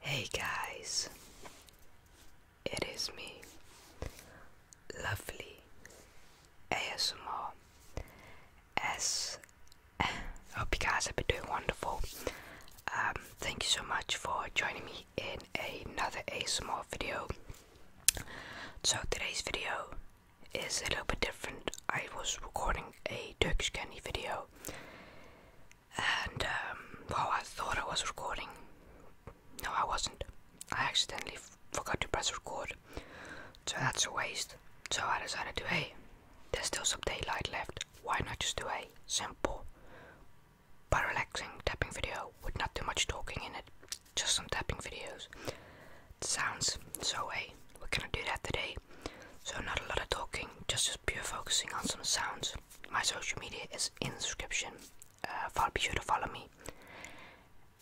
Hey guys, it is me, lovely ASMR. S. I hope you guys have been doing wonderful. Um, thank you so much for joining me in another ASMR video. So today's video is a little bit different. I was recording a Turkish candy video, and um, well, I thought I was recording. No, I wasn't. I accidentally forgot to press record, so that's a waste. So I decided to a. there's still some daylight left. Why not just do a simple but relaxing tapping video with not too much talking in it, just some tapping videos sounds. So hey, we're gonna do that today. So not a lot of talking, just pure focusing on some sounds. My social media is in the description. Uh, follow, be sure to follow me.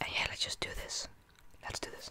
And yeah, let's just do this. Let's do this.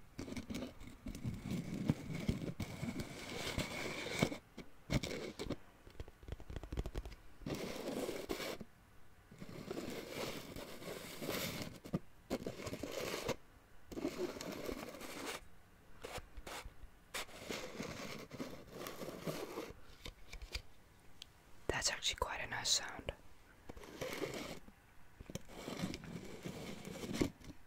That's actually quite a nice sound.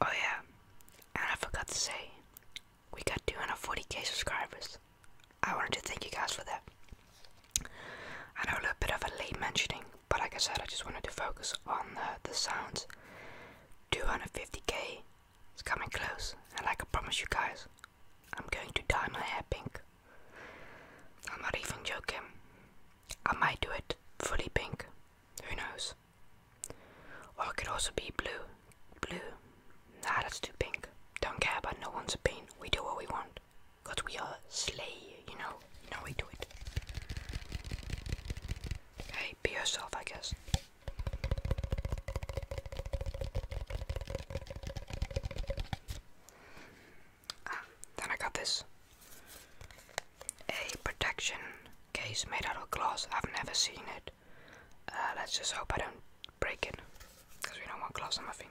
Oh yeah, and I forgot to say, we got 240k subscribers. I wanted to thank you guys for that. I know a little bit of a late mentioning, but like I said, I just wanted to focus on uh, the sounds. 250k is coming close, and like I promised you guys, I'm going to dye my hair pink. I'm not even joking. I might do it fully pink. Who knows? Or it could also be blue. Blue. Nah, that's too pink. Don't care about no one's a opinion. We do what we want. Because we are slay, you know? You know we do it. Hey, be yourself, I guess. Um, then I got this. A protection case made out of glass. I've never seen it. Uh, let's just hope I don't break it. Because we don't want glass on my fingers.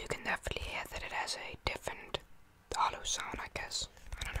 You can definitely hear that it has a different hollow sound, I guess. I don't know.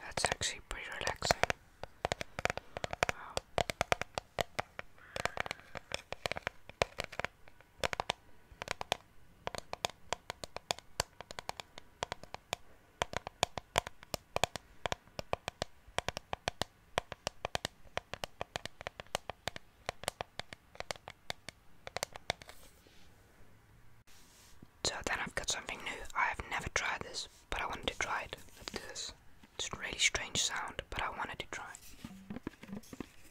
That's actually pretty relaxing. Wow. So then I've got something new. I have never tried this, but I wanted to try it. Let's do this. It's a really strange sound, but I wanted to try it.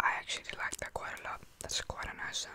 I actually like that quite a lot. That's quite a nice sound.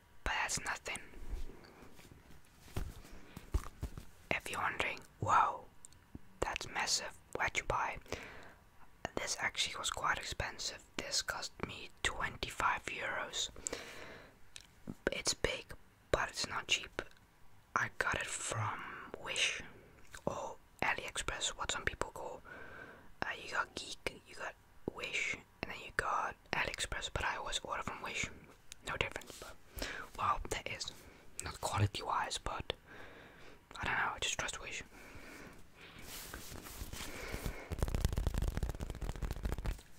but that's nothing. If you're wondering, whoa, that's massive, where'd you buy? This actually was quite expensive, this cost me 25 euros. It's big, but it's not cheap. I got it from Wish or AliExpress, what some people call. Uh, you got Geek, you got Wish, and then you got AliExpress, but I always order from Wish. No difference, but well, that is not quality-wise, but I don't know. I just trust Wish.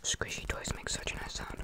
Squishy toys make such a nice sound.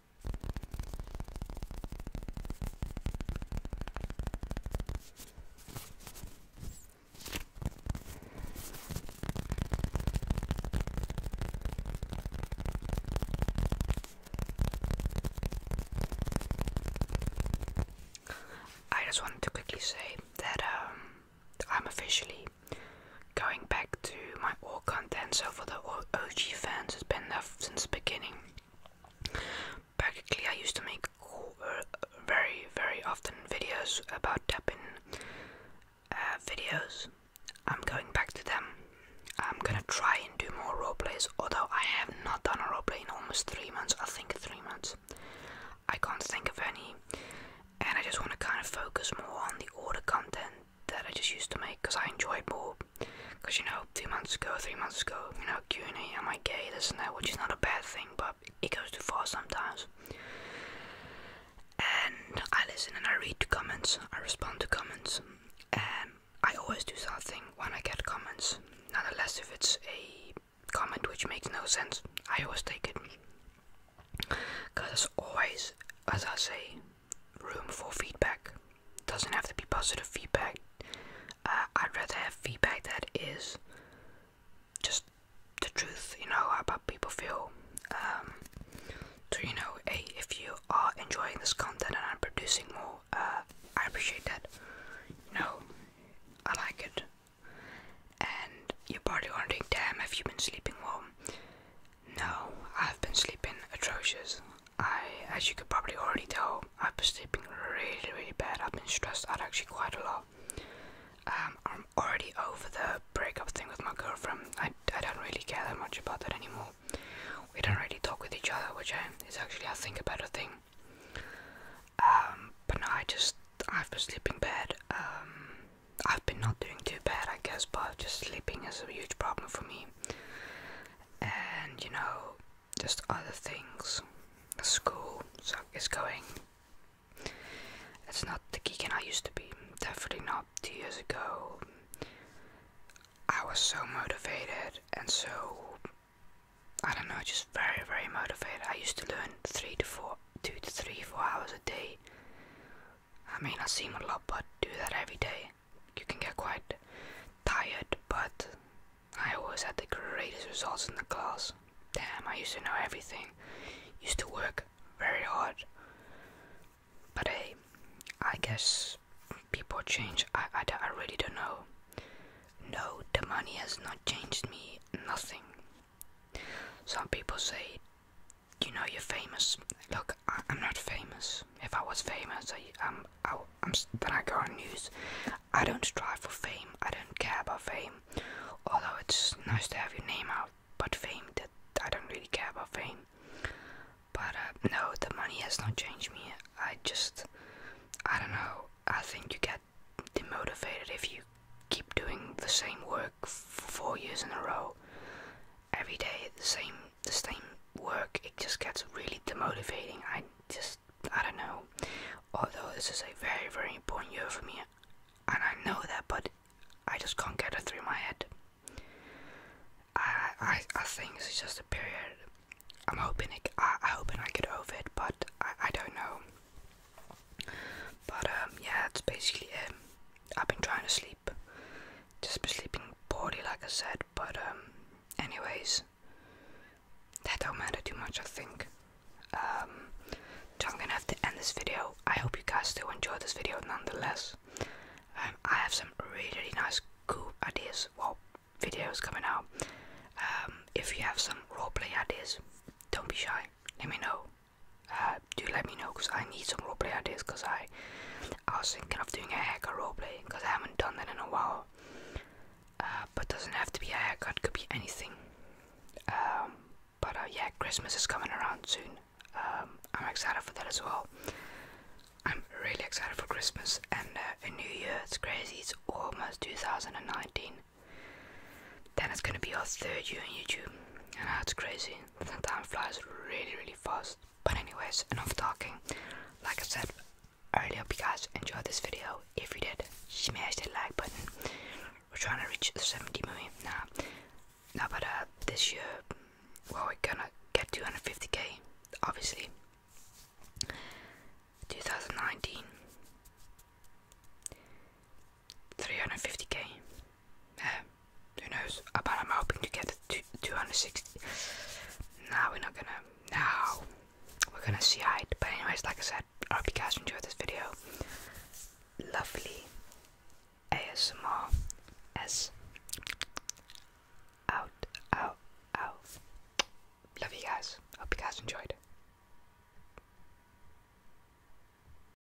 I just wanted to quickly say that um, I'm officially going back to my old content. So for the OG fans, it's been there since the beginning. Practically, I used to make uh, very, very often videos about tapping uh, videos. I'm going back to them. I'm gonna try and do more roleplays, although I have not done a roleplay in almost three months. I think three months. I can't think of any, and I just want to kind of focus more on the order content that I just used to make because I enjoyed more. Because you know, two months ago, three months ago, you know, Q and A, am I gay, this and that, which is not a bad thing, but it goes too far sometimes. And I listen and I read the comments, I respond to comments, and I always do something when I get comments. Nonetheless, if it's a comment which makes no sense, I always take it. Because always, as I say, room for feedback. Doesn't have to be positive feedback. Uh, I'd rather have feedback that is just the truth, you know, how people feel. Um, so you know, hey, if you are enjoying this content and I'm producing more, uh, I appreciate that. You know, I like it. And you're probably wondering, damn, have you been sleeping well? No, I've been sleeping atrocious. I, as you could probably already tell, I've been sleeping really, really bad. I've been stressed i out actually quite a lot. Um, I'm already over the breakup thing with my girlfriend. I, I don't really care that much about that anymore. We don't really talk with each other, which um, is actually, I think, a better thing. Um, but no, I just, I've been sleeping bad. I've been not doing too bad, I guess, but just sleeping is a huge problem for me and you know, just other things. School so is going. It's not the geek I used to be. Definitely not two years ago. I was so motivated and so I don't know, just very very motivated. I used to learn three to four, two to three, four hours a day. I may not seem a lot, but do that every day. You can get quite tired, but I always had the greatest results in the class. Damn, I used to know everything. Used to work very hard. But hey, I guess people change. I, I, really don't know. No, the money has not changed me, nothing. Some people say you know you're famous. Look, I, am not famous. If I was famous, I, um, I, i then I go on news. I don't strive for fame. I don't care about fame. Although it's nice to have your name out, but fame, that I don't really care about fame. But uh, no, the money has not changed me. I just, I don't know. I think you get demotivated if you keep doing the same work for four years in a row. Every day, the same the same work, it just gets really demotivating. I just, I don't know. Although this is a very, very important year for me, and I know that, but I just can't get it through my head. I, I, I think it's just a period. I'm hoping it, I, I hoping I get over it, but I, I don't know. But um, yeah, that's basically it. I've been trying to sleep just be sleeping poorly, like I said. But um, anyways, that don't matter too much, I think. Um, so I'm gonna have to end this video. I hope you guys still enjoyed this video, nonetheless. Um, I have some really, nice, cool ideas. Well, videos coming out. if you have some roleplay ideas, don't be shy. Let me know uh, do let me know because I need some roleplay ideas because I I was thinking of doing a haircut roleplay because I haven't done that in a while uh, but doesn't have to be a haircut could be anything um, but uh, yeah Christmas is coming around soon um, I'm excited for that as well I'm really excited for Christmas and uh, a new year it's crazy it's almost 2019 then it's gonna be our third year on YouTube and that's crazy the time flies really really fast. But anyways, enough talking. Like I said earlier, hope you guys enjoyed this video. If you did, smash that like button. We're trying to reach 70 million now. Nah, but uh, this year, we're gonna get 250k, obviously. 2019. 350k. Um, who knows? But I'm hoping to get to 260. Now we're not gonna. Now we're gonna see how it. But anyways, like I said, I hope you guys enjoyed this video. Lovely ASMR S out out out. Love you guys. Hope you guys enjoyed.